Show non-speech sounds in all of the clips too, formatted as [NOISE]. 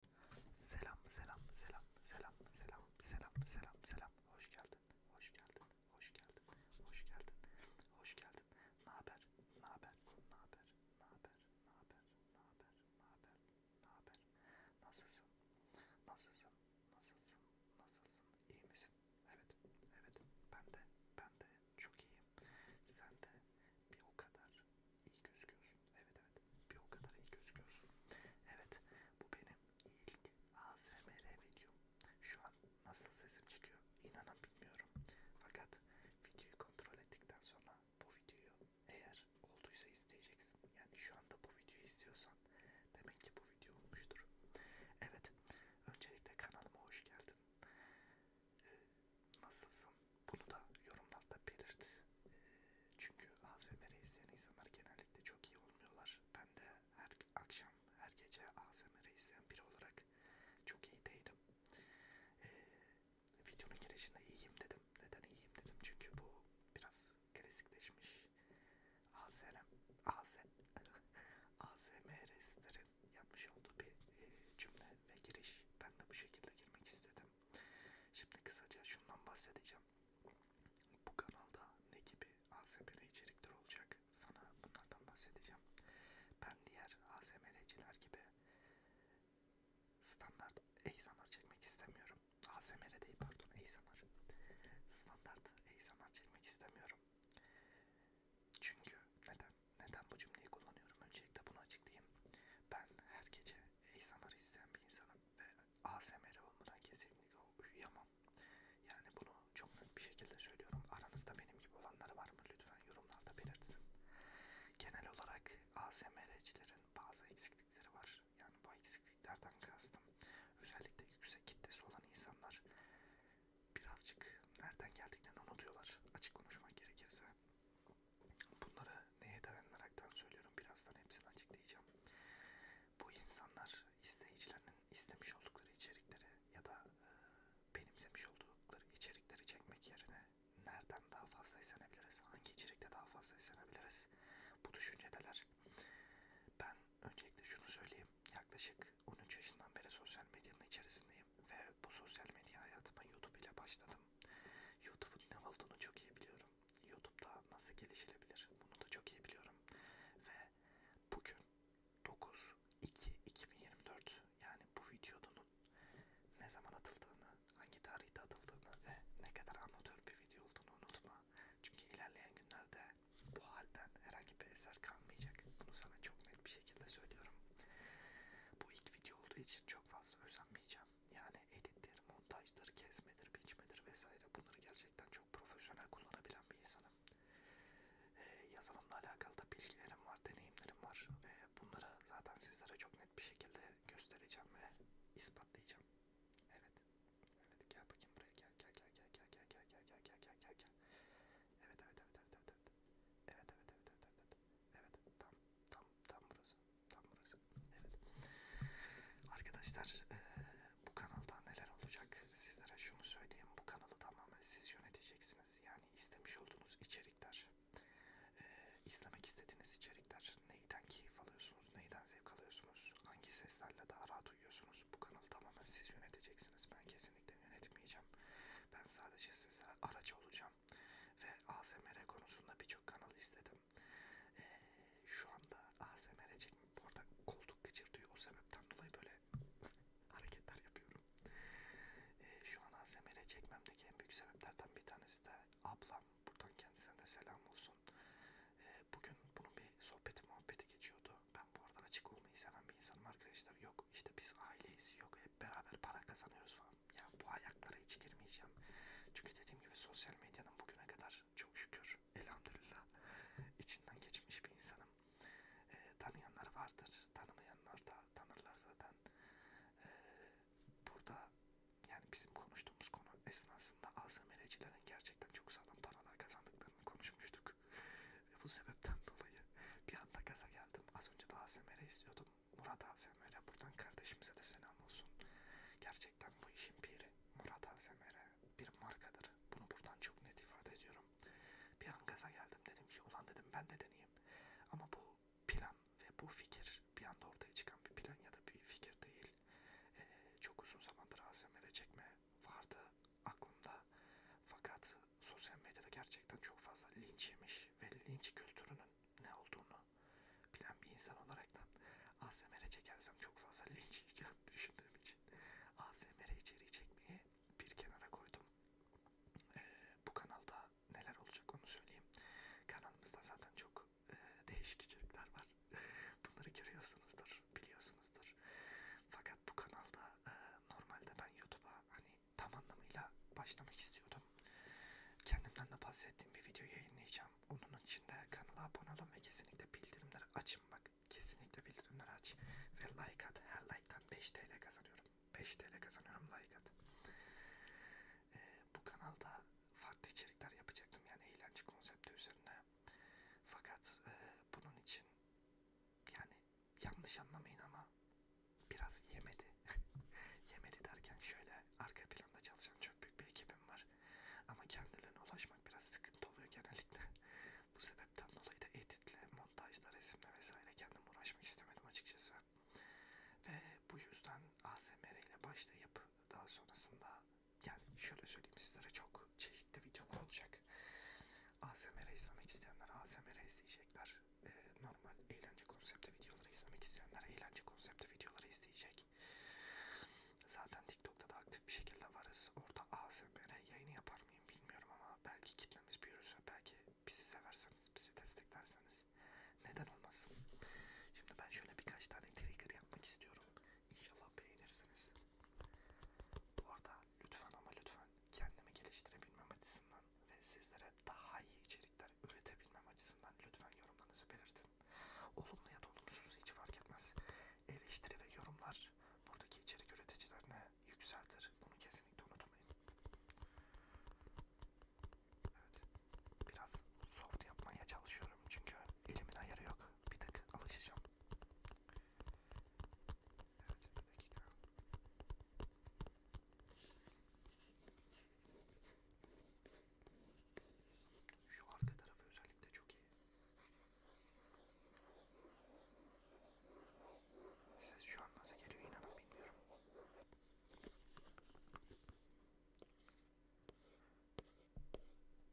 Selam, selam, selam, selam, selam, selam, selam, selam. Hoş geldin, hoş geldin, hoş geldin, hoş geldin, hoş geldin. Ne haber, ne haber, ne haber, ne haber, ne haber, ne haber, ne haber, ne haber? Nasılsın, nasılsın, nasılsın, nasılsın? İyi misin? Evet, evet. Ben de, ben de çok iyiyim. Sen de bir o kadar gözüküyorsun. İyi gözüküyorsun. Evet evet. Bir o kadar iyi gözüküyorsun. Evet. Bu benim ilk ASMR videom. Şu an nasıl sesim çıkıyor inanın bilmiyorum. Fakat videoyu kontrol ettikten sonra bu videoyu eğer olduysa izleyeceksin. Yani şu anda bu videoyu izliyorsan demek ki bu video olmuştur. Evet. Öncelikle kanalıma hoş geldin. Ee, nasılsın? Bunu da yorumlarda belirt. E, çünkü ASMR izleyen insanlar genellikle çok iyi olmuyorlar. Ben de her akşam, her gece ASMR izleyen biri olarak çok iyi değilim. E, videonun girişinde iyiyim dedim. Neden iyiyim dedim? Çünkü bu biraz klasikleşmiş ASM, AS, ASMR yapmış olduğu bir e, cümle ve giriş. Ben de bu şekilde girmek istedim bahsettim. Şimdi kısaca şundan bahsedeceğim. Bu kanalda ne gibi ASMR içerikler olacak? Sana bunlardan bahsedeceğim. Ben diğer ASMR'ciler gibi standart ASMR çekmek istemiyorum. ASMR değil pardon ASMR. Standart ASMR çekmek istemiyorum. Çünkü neden? Neden bu cümleyi kullanıyorum? Öncelikle bunu açıklayayım. Ben her gece ASMR izleyen bir insanım ve ASMR olmadan kesinlikle uyuyamam. Yani bunu çok net bir şekilde söylüyorum. Aranızda benim gibi olanlar var mı? Lütfen yorumlarda belirtsin. Genel olarak ASMR'cilerin bazı eksiklikleri var. Yani bu eksikliklerden kastım. Özellikle yüksek kitlesi olan insanlar birazcık nereden geldiklerini unutuyorlar. Açık konuşmak gerekirse. Bunları neye dayanaraktan söylüyorum birazdan hepsini açıklayacağım. Bu insanlar izleyicilerinin istemiş oldukları içerikleri ya da e, benimsemiş oldukları içerikleri çekmek yerine nereden daha fazla esenebiliriz, hangi içerikte daha fazla esenebiliriz bu düşüncedeler. Ben öncelikle şunu söyleyeyim, yaklaşık 13 yaşından beri sosyal medyanın içerisindeyim ve bu sosyal medya hayatıma YouTube ile başladım. YouTube'un ne olduğunu çok iyi biliyorum. YouTube'da nasıl gelişilebilir bunu da çok iyi biliyorum. Ve bugün 9-2-2024 yani bu videonun ne zaman atıldığını, hangi tarihte atıldığını ve ne kadar amatör bir video olduğunu unutma. Çünkü ilerleyen günlerde bu halden herhangi bir eser kalmayacak. Bunu sana çok net bir şekilde söylüyorum. Bu ilk video olduğu için çok fazla özenmeyeceğim. Yani edittir, montajdır, kesmedir, biçmedir vesaire bunları gerçekten çok profesyonel kullanabilen bir insanım. Ee, yazılımla alakalı da bilgilerim var, deneyimlerim var. Ee, bunları zaten sizlere çok net bir şekilde göstereceğim ve ispatlayacağım. Evet. Evet gel bakayım buraya gel gel gel gel gel gel gel gel gel gel gel gel. Evet evet evet evet evet. Evet evet evet evet evet. Evet, evet, evet. evet tam tam tam burası. Tam burası. Evet. Arkadaşlar e, bu kanalda neler olacak? Sizlere şunu söyleyeyim. Bu kanalı tamamen siz yöneteceksiniz. Yani istemiş olduğunuz içerikler, e, izlemek istediğiniz içerikler, neyden keyif alıyorsunuz, neyden zevk alıyorsunuz, hangi seslerle daha rahat uyuyorsunuz. Bu kanalı tamamen siz yöneteceksiniz. Ben kesinlikle yönetmeyeceğim. Ben sadece sizlere aracı olacağım. Ve ASMR konusunda birçok kanal istedim. Ee, şu anda ASMR çekmem. Bu arada koltuk gıcırdıyor. O sebepten dolayı böyle [LAUGHS] hareketler yapıyorum. Ee, şu an ASMR çekmemdeki en büyük sebeplerden bir tanesi de ablam. Buradan kendisine de selam olsun. Ee, bugün bunun bir sohbeti muhabbeti geçiyordu. Ben bu arada açık olmayı seven bir insanım arkadaşlar. Yok işte biz aileyiz. Yok hep beraber para kazanıyoruz falan. Ya bu ayaklara hiç girmeyeceğim. Çünkü dediğim gibi sosyal medyanın bugüne kadar var. Çok şükür. Elhamdülillah. İçinden geçmiş bir insanım. E, tanıyanlar vardır. Tanımayanlar da tanırlar zaten. E, burada yani bizim konuştuğumuz konu esnasında ASMR'cilerin gerçekten çok sağlam paralar kazandıklarını konuşmuştuk. Ve bu sebepten dolayı bir anda gaza geldim. Az önce de ASMR istiyordum. Murat ASMR buradan kardeşimize de selam olsun. Gerçekten Gerçekten bu işin piri Murat Azemere bir markadır. Bunu buradan çok net ifade ediyorum. Bir an gaza geldim dedim ki ulan dedim ben de deneyeyim. Ama bu plan ve bu fikir bir anda ortaya çıkan bir plan ya da bir fikir değil. Ee, çok uzun zamandır ASMR çekme vardı aklımda. Fakat sosyal medyada gerçekten çok fazla linç yemiş ve linç kültürünün ne olduğunu bilen bir insan olaraktan ASMR'e çekersem çok fazla linç yiyeceğim [LAUGHS] düşündüğüm için ASMR içeriği çekmeyi bir kenara koydum. Ee, bu kanalda neler olacak onu söyleyeyim. Kanalımızda zaten çok e, değişik içerikler var. [LAUGHS] Bunları görüyorsunuzdur, biliyorsunuzdur. Fakat bu kanalda e, normalde ben YouTube'a hani tam anlamıyla başlamak istiyordum. Kendimden de bahsettiğim bir video yayınlayacağım. Onun için de kanala abone olun ve kesinlikle bildirimleri açın bak. Kesinlikle bildirimleri aç. Ve like at. Her like'tan 5 TL kazanıyorum. 5 TL kazanıyorum like at. Ee, bu kanalda farklı içerikler yapacaktım yani eğlence konsepti üzerine. Fakat e, bunun için yani yanlış anlamayın ama biraz yemedi. [LAUGHS] yemedi derken şöyle arka planda çalışan çok büyük bir ekibim var. Ama kendilerine ulaşmak biraz sıkıntı oluyor genellikle. Bu sebepten dolayı da editle, montajla, resimle vesaire kendim uğraşmak istemedim açıkçası. Ve bu yüzden ASMR ile başlayıp daha sonrasında yani şöyle söyleyeyim sizlere çok çeşitli videolar olacak. ASMR izlemek isteyenler ASMR izleyecekler. Ee, normal eğlence konseptli videoları izlemek isteyenler eğlence konseptli videoları izleyecek ettik. Zaten TikTok'ta da aktif bir şekilde varız. Orada ASMR yayını yapar mıyım bilmiyorum ama belki kitlemiz büyürse, belki bizi severseniz, bizi desteklerseniz neden olmasın. Şimdi ben şöyle birkaç tane trigger yapmak istiyorum. İnşallah beğenirsiniz. Bu arada lütfen ama lütfen kendimi geliştirebilmem açısından ve sizlere daha iyi içerikler üretebilmem açısından lütfen yorumlarınızı belirtin. Olumlu ya da olumsuz hiç fark etmez. Eleştiri ve yorumlar buradaki içerik üreticilerine yükseltir. Bunu kesinlikle unutmayın. Evet. Biraz soft yapmaya çalışıyorum çünkü elimin ayarı yok. Bir tık alışacağım. Evet bir dakika. Şu arka tarafı özellikle çok iyi. Ses şu an nasıl geliyor inanın bilmiyorum.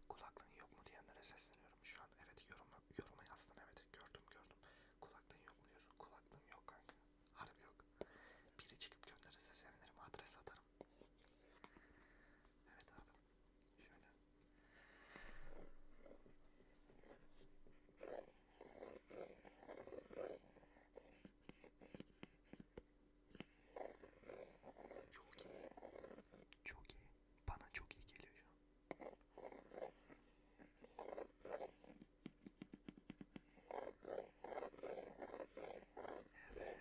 Kulaklığın yok mu diyenlere sesleniyorum şu an. Evet yoruma, yoruma yazdın evet gördüm gördüm. Kulaklığın yok mu diyorsun? Kulaklığım yok kanka. Harbi yok. Biri çıkıp gönderirse sevinirim adres atarım. Evet abi Şöyle. Çok iyi. Çok iyi. Bana çok iyi geliyor şu an. Evet.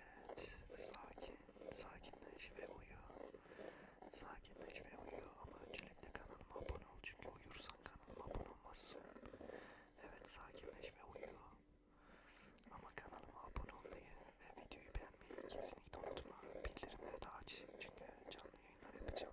Sakin. Sakinleş ve uyu. Sakinleş ve uyu ama öncelikle kanalıma abone ol çünkü uyursan kanalıma abone olmazsın. Evet sakinleş ve uyu. Ama kanalıma abone olmayı ve videoyu beğenmeyi kesinlikle unutma. Bildirimleri de aç çünkü canlı yayınlar yapacağım.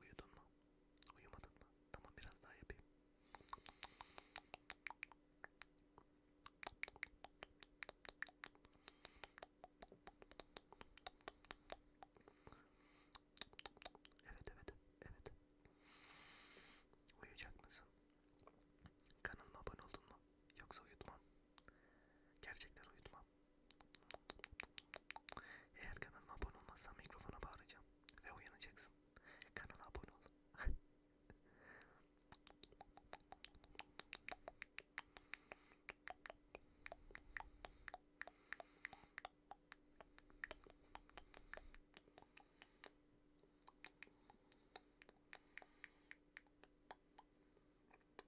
Uyudun mu? Uyumadın mı? Tamam biraz daha yapayım. Evet evet evet. Uyuyacak mısın? Kanalıma abone oldun mu? Yoksa uyutmam. Gerçekten uyutmam. Eğer kanalıma abone olmazsan mikrofona bağıracağım ve uyanacaksın. Kanala abone ol.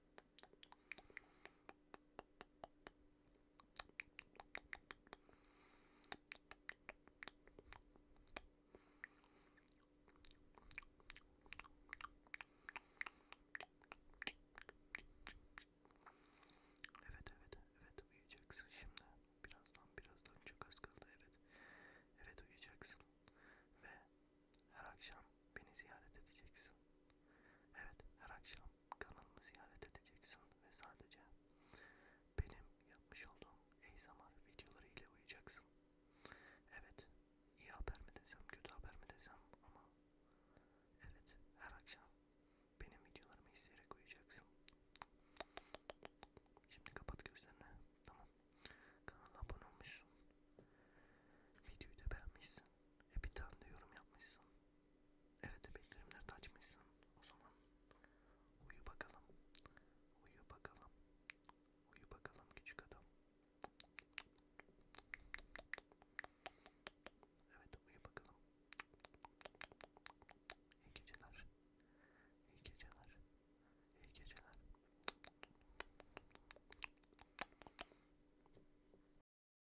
Evet evet evet uyuyacaksın şimdi. Birazdan birazdan çok az kaldı evet. Evet uyuyacaksın ve her akşam beni ziyaret edeceksin. Evet her akşam kanalımı ziyaret edeceksin ve sadece benim yapmış olduğum ASMR videoları ile uyuyacaksın. Evet, iyi haber mi desem, kötü haber mi desem ama evet her akşam benim videolarımı izleyerek uyuyacaksın. Şimdi kapat gözlerini. Tamam. Kanala abone olmuşsun. Videoyu da beğenmişsin. E bir tane de yorum yapmışsın. Evet bildirimleri açmışsın. O zaman uyu bakalım. Uyu bakalım. Uyu bakalım küçük adam. Evet uyu bakalım. İyi geceler. İyi geceler. İyi geceler.